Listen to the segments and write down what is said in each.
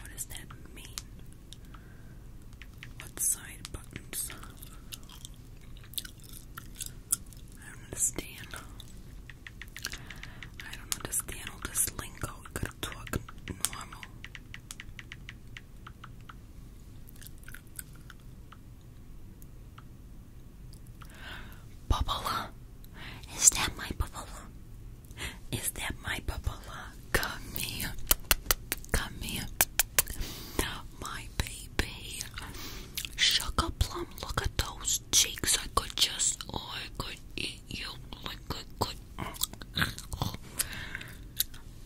What does that mean? What side buttons? understand. I don't understand all this lingo. We talk normal. Bubble. Is that my bubble? Is that my bubble? Come here. Come here. My baby. Sugar plum, look at those cheeks. I could just, oh, I could eat you.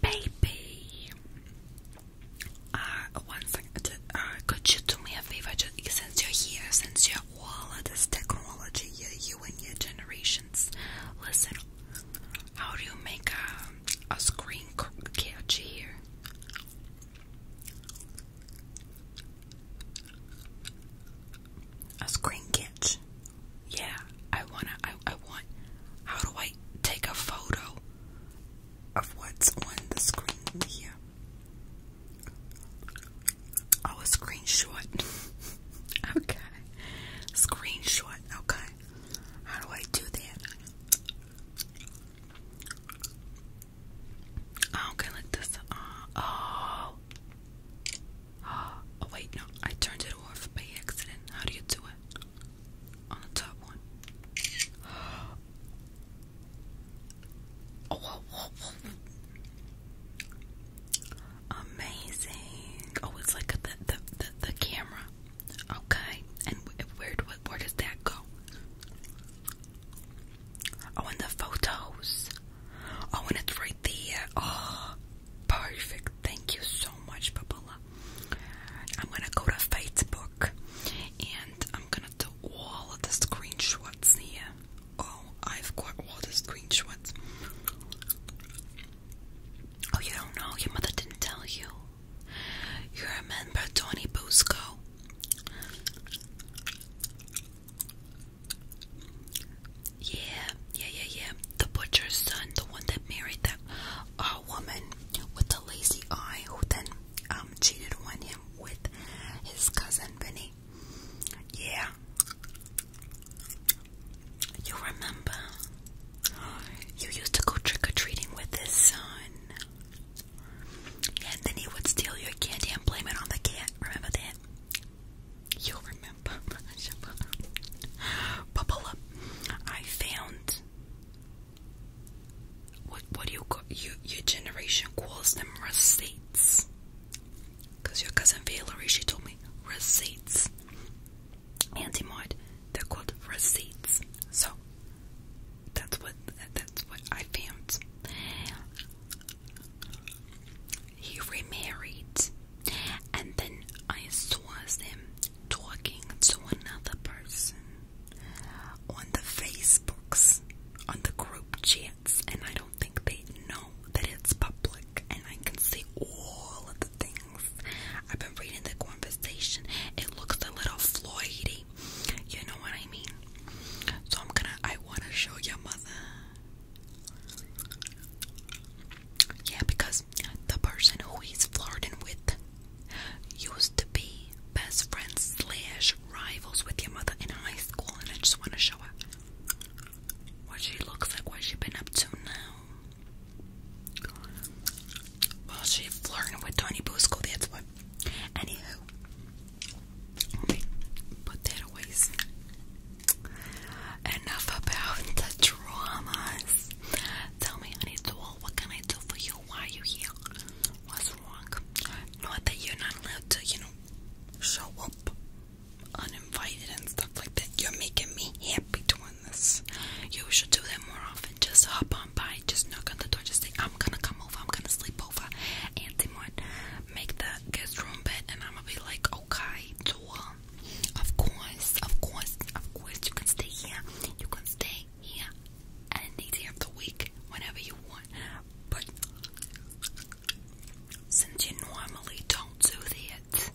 Baby, uh, one second. Uh, could you do me a favor? Just, since you're here, since you're all of this technology, you, you and your generations, listen. How do you make a, a screen catch here? A screen catch yeah, I wanna, I, I want, how do I take a photo of what's on the screen here? Oh, a screenshot. okay. Screenshot, okay. How do I do that? Oh, okay, like this. Uh, oh. oh. Oh, wait, no. I turned it off by accident. How do you do it? on the top one. Oh, Amazing. Oh, it's like the, the, the, camera. Okay. And where, where, does that go? Oh, and the photos. Oh, and it's right there. Oh, perfect. Thank you so much, Babala. I'm gonna go to Facebook and I'm gonna do all of the screenshots here. Oh, I've got all the screenshots. Oh, you don't know? Your mother didn't tell you. You remember Tony Busco? Yeah, yeah, yeah, yeah the butcher's son, the one that married that uh, woman with the lazy eye, who then um, cheated on him with his cousin Benny. Yeah, you remember? You used to go trick or treating with his son, and then he would steal your candy and blame it on the cat. Remember that? You remember? Papala. I found what what do you call you your generation calls them receipts. Cause your cousin Valerie she told me receipts. Auntie Maud, they're called receipts. So that's what that's what I found. He remarried and then I saw him talking to another person on the Facebooks, on the group chats, and I don't think they know that it's public, and I can see all of the things. I've been reading the conversation. It looks a little Floydie, You know what I mean? So I'm gonna I wanna show your mother. Yeah, because the person who he's flirting with used to be best friends slash rivals with your mother in high school, and I just want to show her what she looks like, what she has been up to now. Well, she's flirting with Tony Busco, that's what. Anywho, put that away. Enough about the dramas. Tell me, honey doll, what can I do for you? Why are you here? What's wrong? Not that you're not allowed to, you know, show up uninvited and stuff like that. You're making me happy doing this. You should do that more often. Just hop on by, just knock on the door, just say, I'm gonna come over, I'm gonna sleep over. And they might make the guest room bed, and I'm gonna be like, okay, door. Um, of course, of course, of course, you can stay here. You can stay here any day of the week, whenever you want. But since you normally don't do that,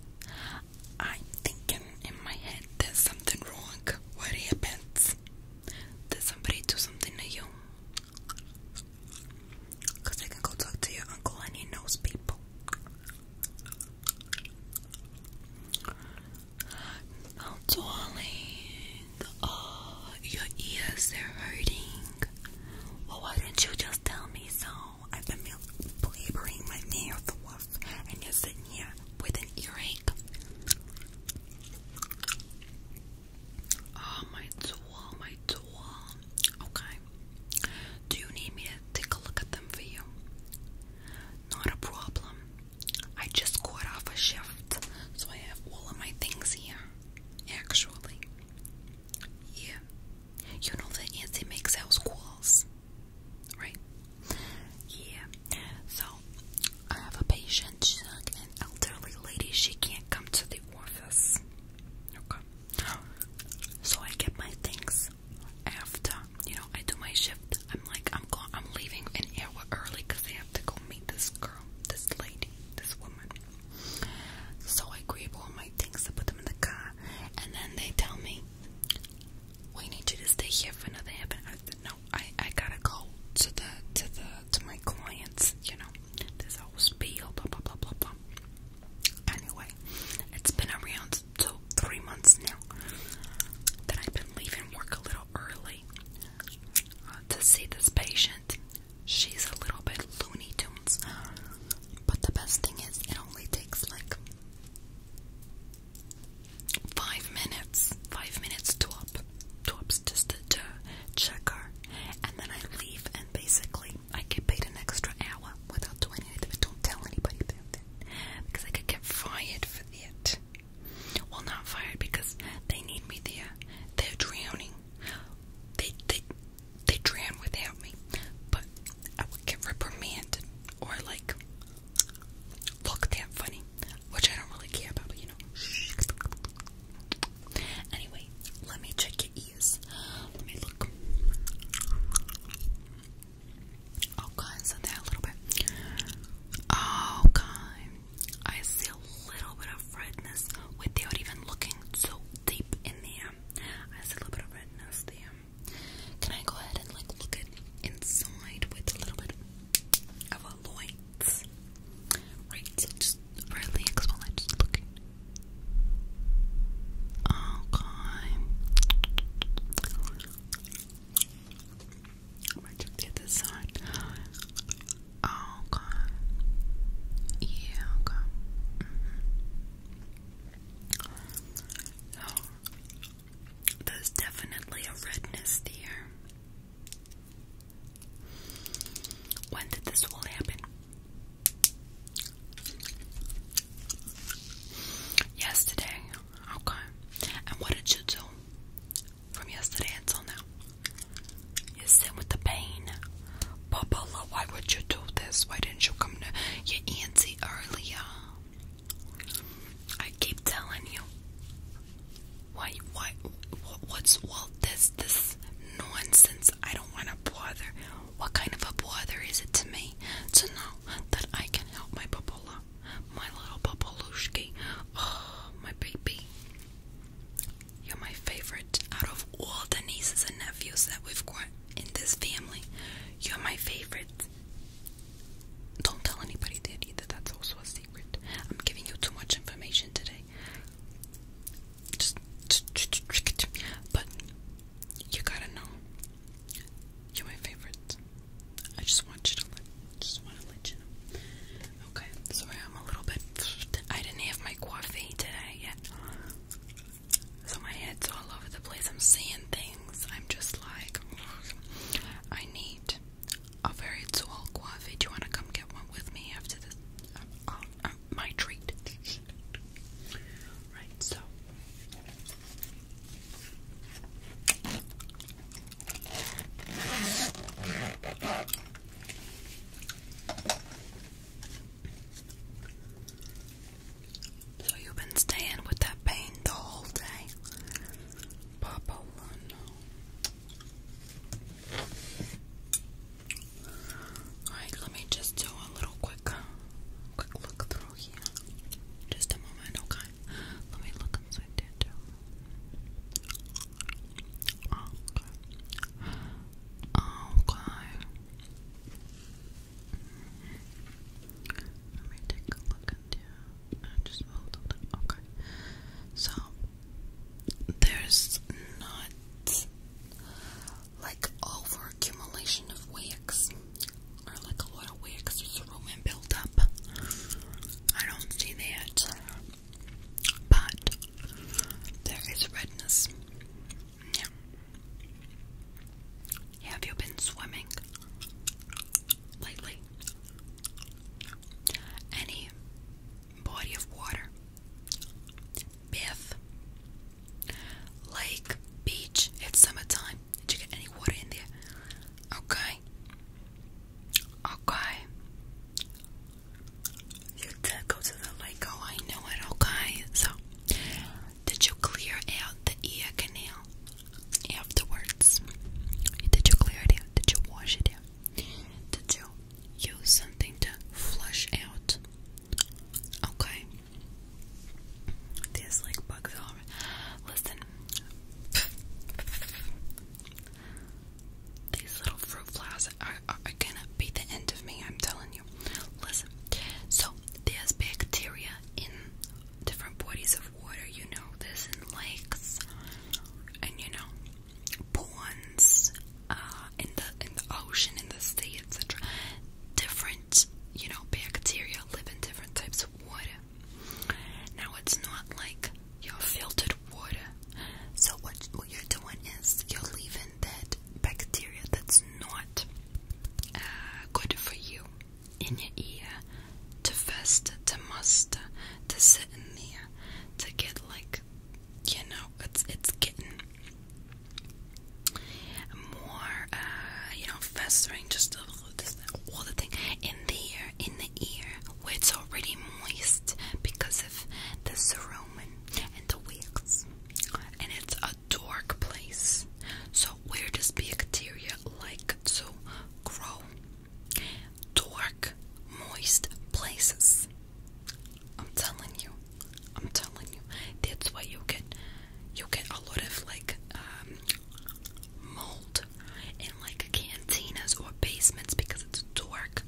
I'm thinking in my head there's something wrong. What happens? Did somebody do something to you? Because I can go talk to your uncle and he knows people. Oh, darling. Oh, your ears are hurting. Well, why don't you just tell me so? I've been blabbering my mouth off, and you're sitting here with an earache. Oh, my tool, my tool. Okay. Do you need me to take a look at them for you? Not a problem. I just caught off a shift, so I have all of my things here. Actually, yeah. You know that Nancy makes house right? Yeah. So I have a patient, an elderly lady. She can't come to the office. Okay. So I get my things after you know I do my shift, I'm like I'm going, I'm leaving an hour early because I have to go meet this girl, this lady, this woman. So I grab all my things, I put them in the car, and then they tell me we need you to stay here for another half an hour. No, I I gotta go to the to the to my clients. You know, this whole spiel, blah blah blah blah blah. Anyway, it's been around two, three months now that I've been leaving work a little early uh, to see this patient. She's a little bit loony tunes, but the best thing is it only takes like five minutes, five minutes to up, to up just to, to check her, and then I leave and basically I get paid an extra hour without doing anything. But don't tell anybody about that because I could get fired for that. Well, not fired because they need me there. They're drowning. They they they drown without me. But I would get reprimanded or like look at funny, which I don't really care about. But you know. Anyway, let me check it. Let me look. Okay, oh, so there a little bit. Okay, oh, I see a little bit of redness without even looking so deep in there. Um, I see a little bit of redness there. Can I go ahead and like look inside with a little bit of a light? Right, just really just looking I might just get this side. okay. Yeah, okay. there's definitely a redness there. When did this all happen? Yesterday, okay. And what did you do from yesterday until now? You sit with the pain. Papola, why would you do this? Why didn't you come to your auntie earlier? I keep telling you. Why, why, what's all this, this nonsense? I don't want to bother. What kind of a brother is it to me to know that I can help my Babola, my little Babolushki? Oh, my baby. You're my favorite out of all the nieces and nephews that we've got in this family. You're my favorite. Don't tell anybody that that's also a secret. I'm giving you too much information today but you gotta know you're my favorite. I just want you to let, just want to let you know. Okay, sorry, I'm a little bit. I didn't have my coffee today yet, so my head's all over the place. I'm seeing things. I'm just like, I need a very tall coffee. Do you want to come get one with me after this? Uh, um, my treat. right, so. So you've been staying with that pain the whole day? Papa, Alright, let me just do a little quick quick look through here. Just a moment, okay? Let me look inside okay. Okay. Mm-hmm. Let me take a look at just hold on. Okay. So there's not like over accumulation of wicks, or like a lot of wicks, there's room and build I don't see that, but there is redness. Yeah. Have you been swimming lately? Any body of water? Bath. Lake, beach, it's summertime. Did you get any water in there? Okay. Okay. You did go to the lake. Oh, I know it. Okay. So, did you clear out the ear canal afterwards? Did you clear it out? Did you wash it out? Did you use something to flush out Okay. There's like bugs all Listen. These little fruit flies are, gonna be the end of me, I'm telling you. Listen. So, there's bacteria in different bodies of water, you know. There's in lakes, and you know, ponds, uh, in the in the ocean, in the sea, etc. Different, you know, bacteria live in different types of water. Now it's not like your filtered water. So what what you're doing is you're leaving that bacteria that's not uh, good for you in your ear to fester, to muster, to sit in there, to get like you know, it's it's getting more, uh, you know, festering, just all the thing in the ear, in the ear, where it's already moist because of the cerumen and the wigs, and it's a dark place. So where does bacteria like to grow? Dark, moist places. I'm telling you, I'm telling you, that's why you get you get a lot of like um, mold in like cantinas or basements because it's a dark,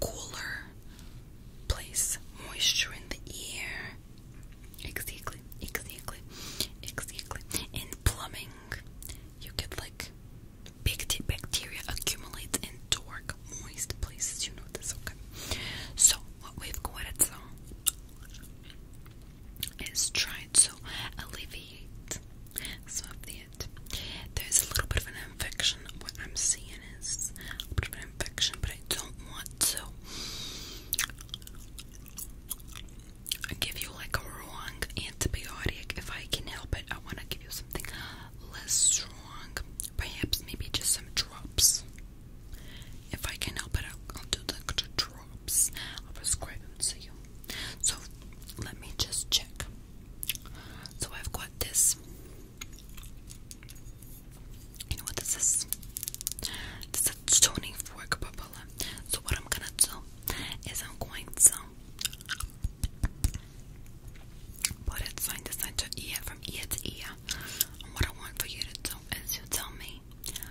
cooler place. Moisture in the air. Exactly, exactly, exactly. In plumbing, you get like bacteria accumulates in dark moist places. You know this, okay? So what we've got so it is trying to alleviate some of There's a little bit of an infection. What I'm seeing is a bit of an infection, but I don't want to give you like a wrong antibiotic if I can help it. I want to give you something less strong. Perhaps maybe just some drops. If I can help it, I'll, I'll do the, drops. I'll prescribe them to you. So let me just check. So I've got this. You know what this is? This is a toning fork, Babala. So what I'm gonna do is I'm going to Put it sign to sign to ear from ear to ear. And what I want for you to do is you tell me.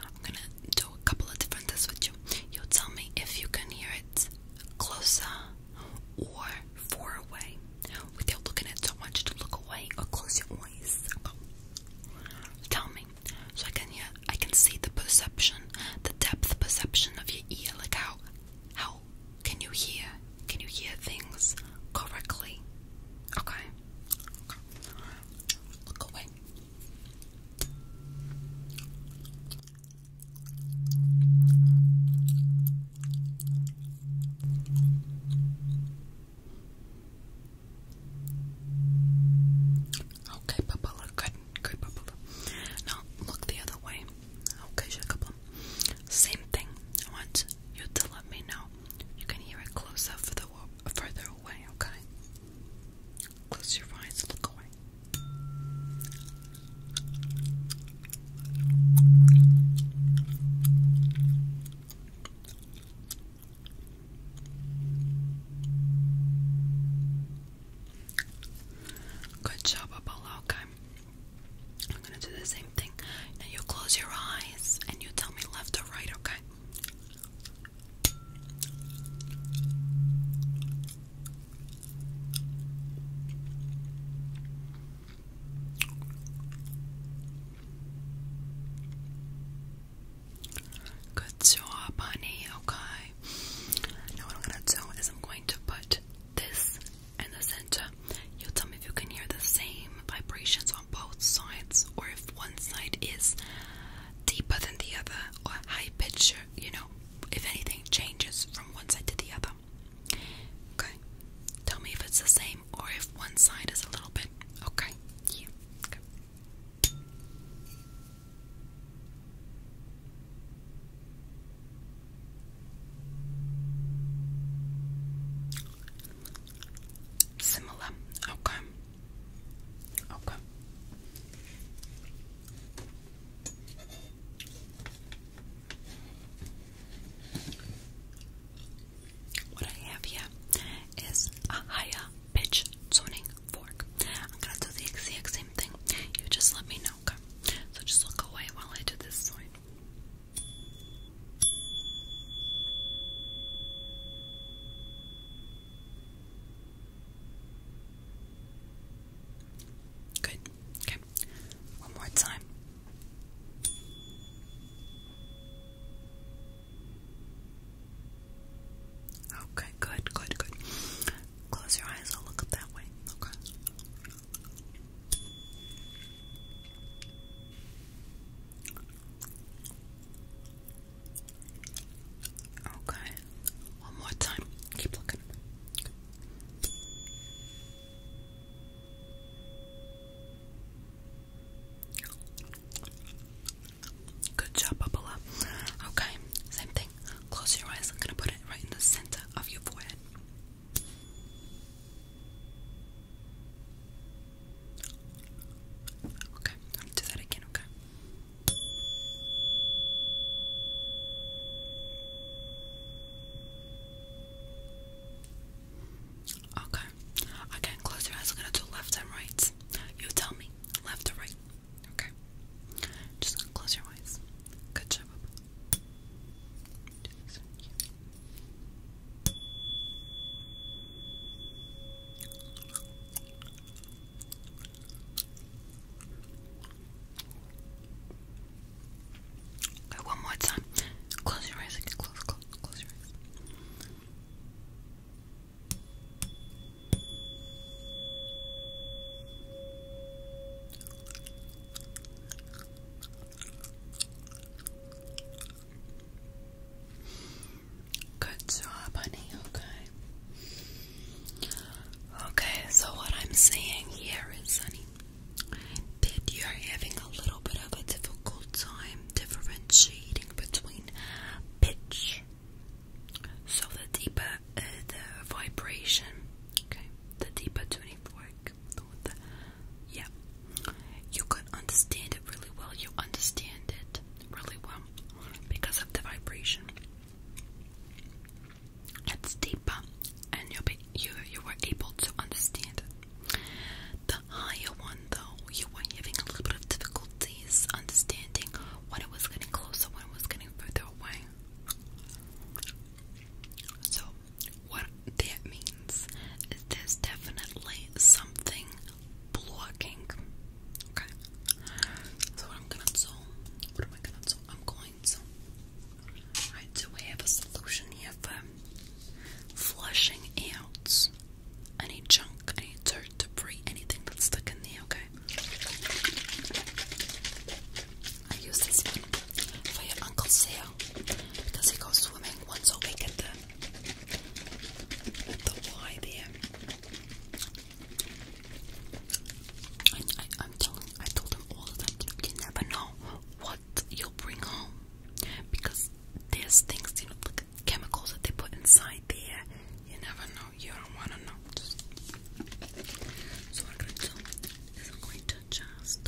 I'm gonna do a couple of different tests with you. you tell me if you can hear it closer or far away. Without looking at it, I want you to look away or close your eyes. Tell me. So I can hear I can see the perception, the depth perception of your ear, like how how can you hear? Can you hear things correctly? Okay. Look away. Okay, Papa, good. Good, Papa. Now, look the other way. Okay, shake a same thing. I want you to let me know. You can hear it closer for the further away, okay? Close your eyes, look away. Good job, Apollo. Okay, I'm gonna do the same thing. Now you close your eyes and you tell me left or right, okay? Good job, honey. Okay. Now what I'm gonna do is I'm going to put this in the center. You'll tell me if you can hear the same vibrations on both sides or if one side is deeper than the other or high pitched, you know, if anything changes from one side to the other. Okay. Tell me if it's the same or if one side is a little bit. Okay. Similar. Okay. Okay. What I have here is a higher pitch tuning fork. I'm gonna do the exact same thing. You just let me know, okay? So just look away while I do this side. Good. Okay. One more time. Okay, good, good, good. Close your eyes, I'll look up that way. Okay. Okay, one more time. Keep looking. Good job, Bubba. Okay, same thing. Close your eyes. I'm gonna put it right in the center of your forehead. Okay, I'll do that again, okay? Okay, again, close your eyes. I'm gonna do left and right. You tell me, left or right, okay? Just close your eyes. Good job. Do one more time. Close your eyes Close, close, close your eyes. Good job, honey. Okay. Okay, so what I'm saying here is, honey, that you're having a little bit of a difficult time differentiating between pitch. So the deeper uh, the vibration, okay, the deeper tuning fork. yeah, you can understand it really well. You understand it really well because of the vibration. It's deeper, and you'll be, you you were able to understand it. The higher one, though, you were having a little bit of difficulties understanding when it was getting closer, when it was getting further away. So, what that means is there's definitely something blocking. Okay. So what I'm gonna do? What am I gonna do? I'm going to. Alright, so have a solution here for flushing out any junk, any dirt, debris, anything that's stuck in there. Okay. I use this one for your uncle's hair because he goes swimming once a week at the the Y I, am telling, I told him all the you never know what you'll bring home because there's things, you know, like chemicals that they put inside there. You never know. You don't want to know so what I'm gonna do is I'm going to just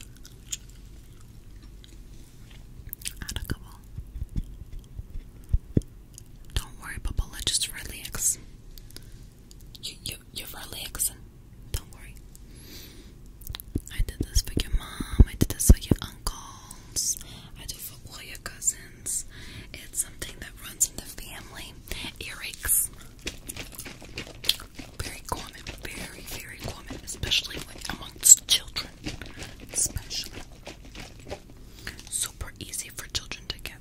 add a couple. Don't worry, Papola, just relax. You you you're relaxing. Don't worry. I did this for your mom, I did this for your uncles, I do for all your cousins. It's something that runs in the family. Earaches. Very common, very, very common, especially like amongst children. Especially. Super easy for children to get.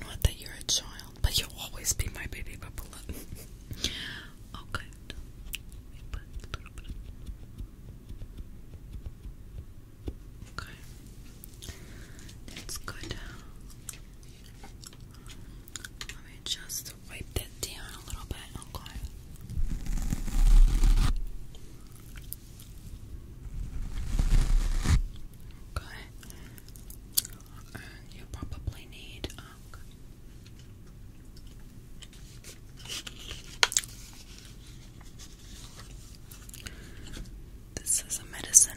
Not that you're a child, but you'll always be my baby bubbler. oh, Okay, that's good. Let me just wipe that down a little bit. Okay. Okay. Uh, you probably need. Um, this is a medicine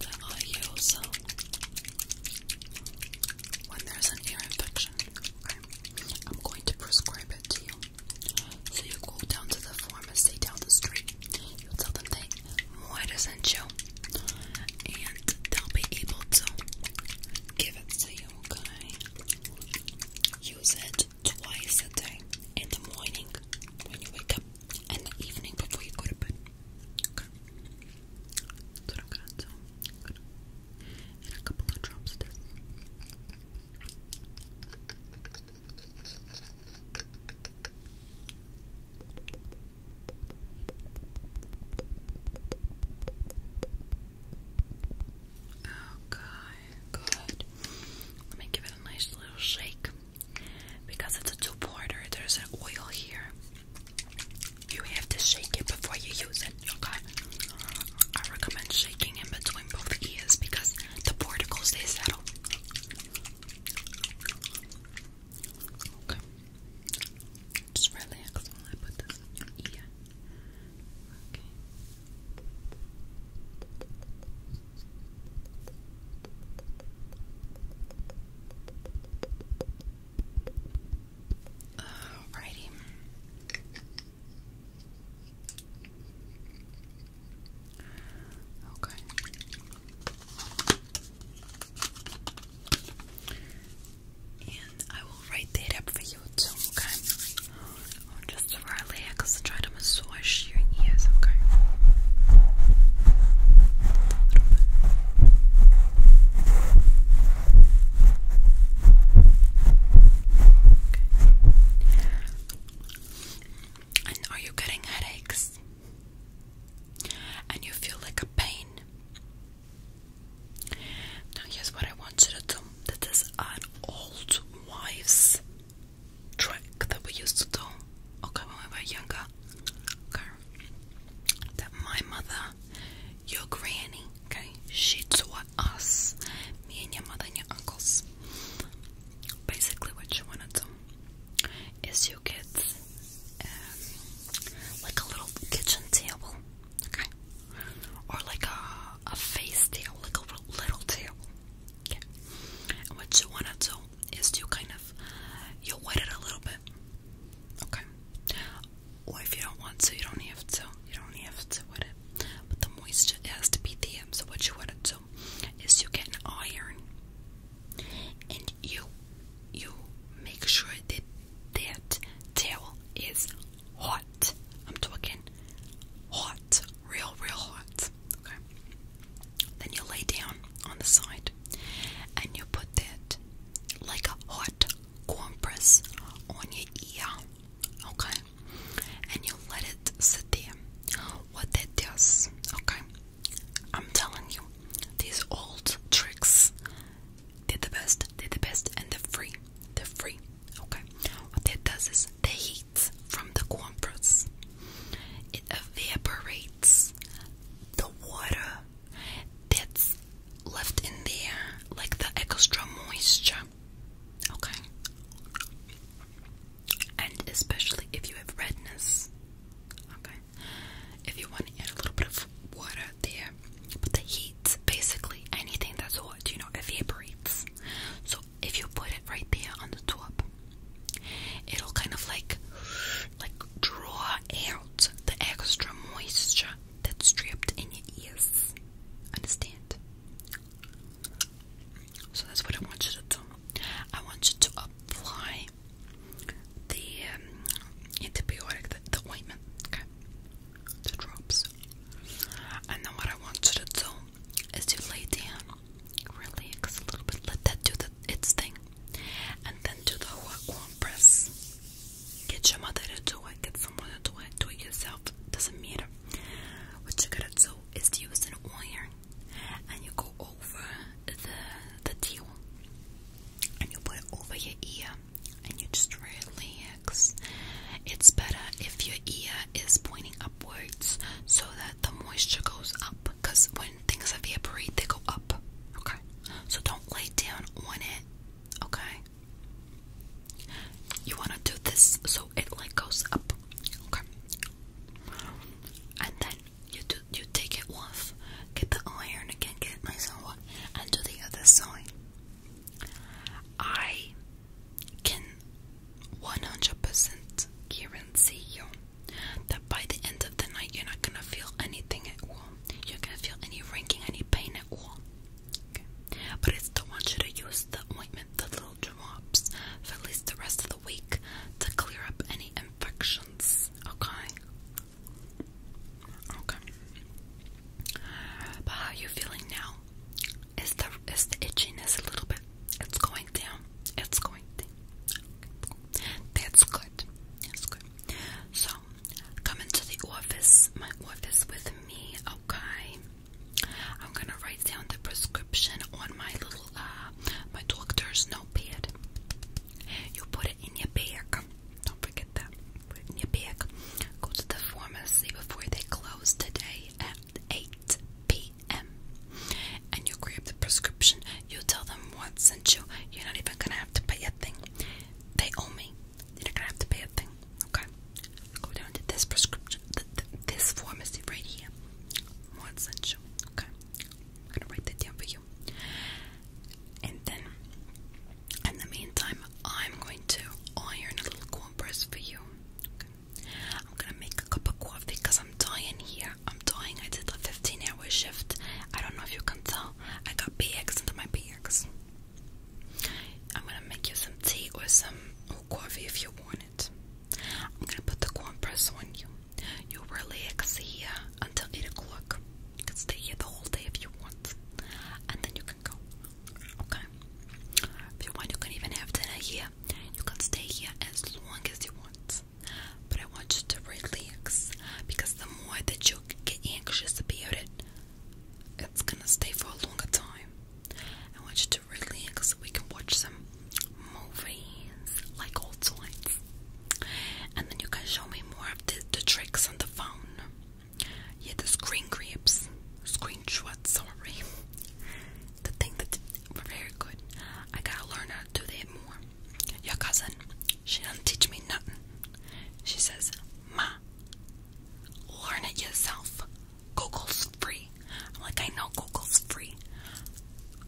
that I use when there's an ear infection. Okay. I'm going to prescribe it to you. So you go down to the pharmacy down the street. You tell them they might sent you, and they'll be able to give it to you. Okay. Use it twice a day in the morning when you wake up and the evening before you go to bed. Okay. That's a couple of drops Oh, God. Good. Let me give it a nice little shake. Because it's a two-porter, there's an oil here. You have to shake it before you use it, okay? I recommend shaking in between both ears because the particles, stay settled. Okay. Just relax while I put this in Okay. Alrighty. Okay. And I will write that up for you too, okay? Just for a layer because I try to massage your ears, okay? A little bit. Okay. And are you getting headaches? And you feel like a pain? Now, here's what I want you to do. This is an old wives' Track that we used to do okay when we were younger that my mother your granny okay she taught us me and your mother and your uncles basically what you want to do is you get um, like a little kitchen table okay or like a, a face tail, like a little tail. Okay. what you want to do is you kind of you wet it a little bit. Okay. Or if you don't want to, you don't have to. You don't have to wet it. But the moisture has to be there. So what you want to do is you get an iron and you you make sure that that tail is hot. I'm talking hot, real, real hot. Okay. Then you lay down on the side and you put that like a hot compress on your ear. Okay. And you let it sit there. What that does, okay? I'm telling you, these old tricks, they're the best, they're the best, and they're free they free. Okay. What that does is the heat from the compress it evaporates the water that's left in there, like the extra moisture. Okay. And especially if you have redness. Okay. If you want to add a little bit of water there, but the heat, basically anything that's hot, you know, evaporates. So if you put it right there on the top, it'll kind of like like draw out the extra moisture that's trapped in your ears. Understand? So that's what I want you to do. I want you to apply the um, antibiotic, the ointment. Okay the drops. And then what I want you to do is you lay down, relax a little bit, let that do the, its thing, and then do the one press. Get your mother to do it, get someone to do it, do it yourself, doesn't matter. What you gotta do is use an iron and you go over the the deal and you put it over your ear and you just really it's better if your ear is pointing upwards so that the moisture goes up because when things evaporate, they go up. Okay? So don't lay down on it. Okay? You want to do this so it like goes up. Okay? And then you do you take it off, get the iron again, get it nice and hot, and do the other side. I can 100% guarantee you that by the end of the night you're not gonna feel anything at all. You're gonna feel any ranking, any pain at all. But I still want you to use the ointment, the little drops, for at least the rest of the week to clear up any infections. Okay. Okay. But how are you feeling now? Is the is the itchiness a little bit? It's going down. It's going down. That's good. That's good. So come into the office, my office with me, okay? I'm gonna write down the prescription on my little uh my doctor's notepad. You put it in your bag. Don't forget that. Go to the pharmacy before they close today at 8 p.m. And you grab the prescription. You tell them what sent you. You're not even gonna have to pay a thing. They owe me. You're gonna have to pay a thing. Okay. Go down to this prescription, th this pharmacy right here. What sent you? Okay. I'm gonna write that down for you. And then in the meantime, I'm going to iron a little compress for you. I'm gonna make a cup of coffee because I'm dying here. I'm dying. I did a 15 hour shift. I don't know if you can tell. I got BX into my BX. I'm gonna make you some tea or some coffee if you want it. I'm gonna put the compress on you. You'll relax here until 8 o'clock. You can stay here the whole day if you want. And then you Okay. If you want, you can even have dinner here. You can stay here as long as you want. But I want you to relax because the more that you get anxious about it, it's gonna stay for a longer time. I want you to relax so we can watch some movies like old times. And then you can show me more of the tricks on the phone. Yeah, the screen grips, screenshot, sorry. The thing that were very good. I gotta learn how to do that more. Your cousin, she doesn't teach me nothing. She says, Ma, learn it yourself. Google's free. I'm like, I know Google's free.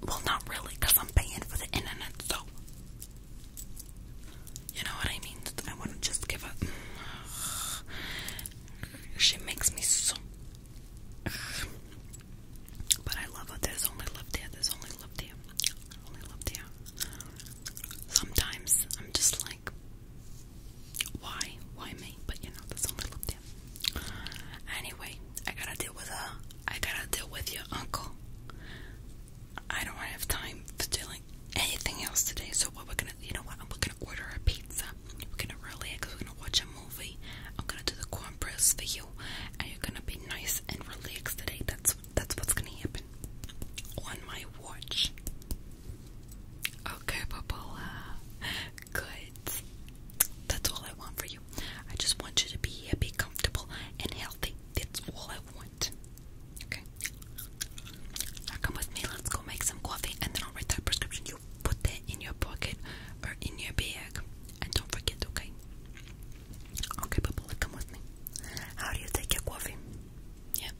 Well, not really, I'm paying for the internet, so. You know what I mean? I want to just give up. She makes me so. But I love her. only love there. only love there. Only love there. Sometimes I'm just like, why? Why me? But you know, there's only love there. Anyway, I gotta deal with her. I gotta deal with your uncle. I don't have time for dealing anything else today, so what we're gonna, you know what, I'm gonna order a pizza, we're gonna relax, we're gonna watch a movie, I'm gonna do the corn press for you, and you're gonna be nice and relaxed today, that's, that's what's gonna happen on my watch. Okay, Papola, good, that's all I want for you, I just want you to be happy, comfortable, and healthy, that's all Okay? come with me, let's go make some coffee and then I'll write that prescription. You put that in your pocket or in your bag and don't forget, okay? Okay, Papola, come with me. How do you take your coffee? Yeah.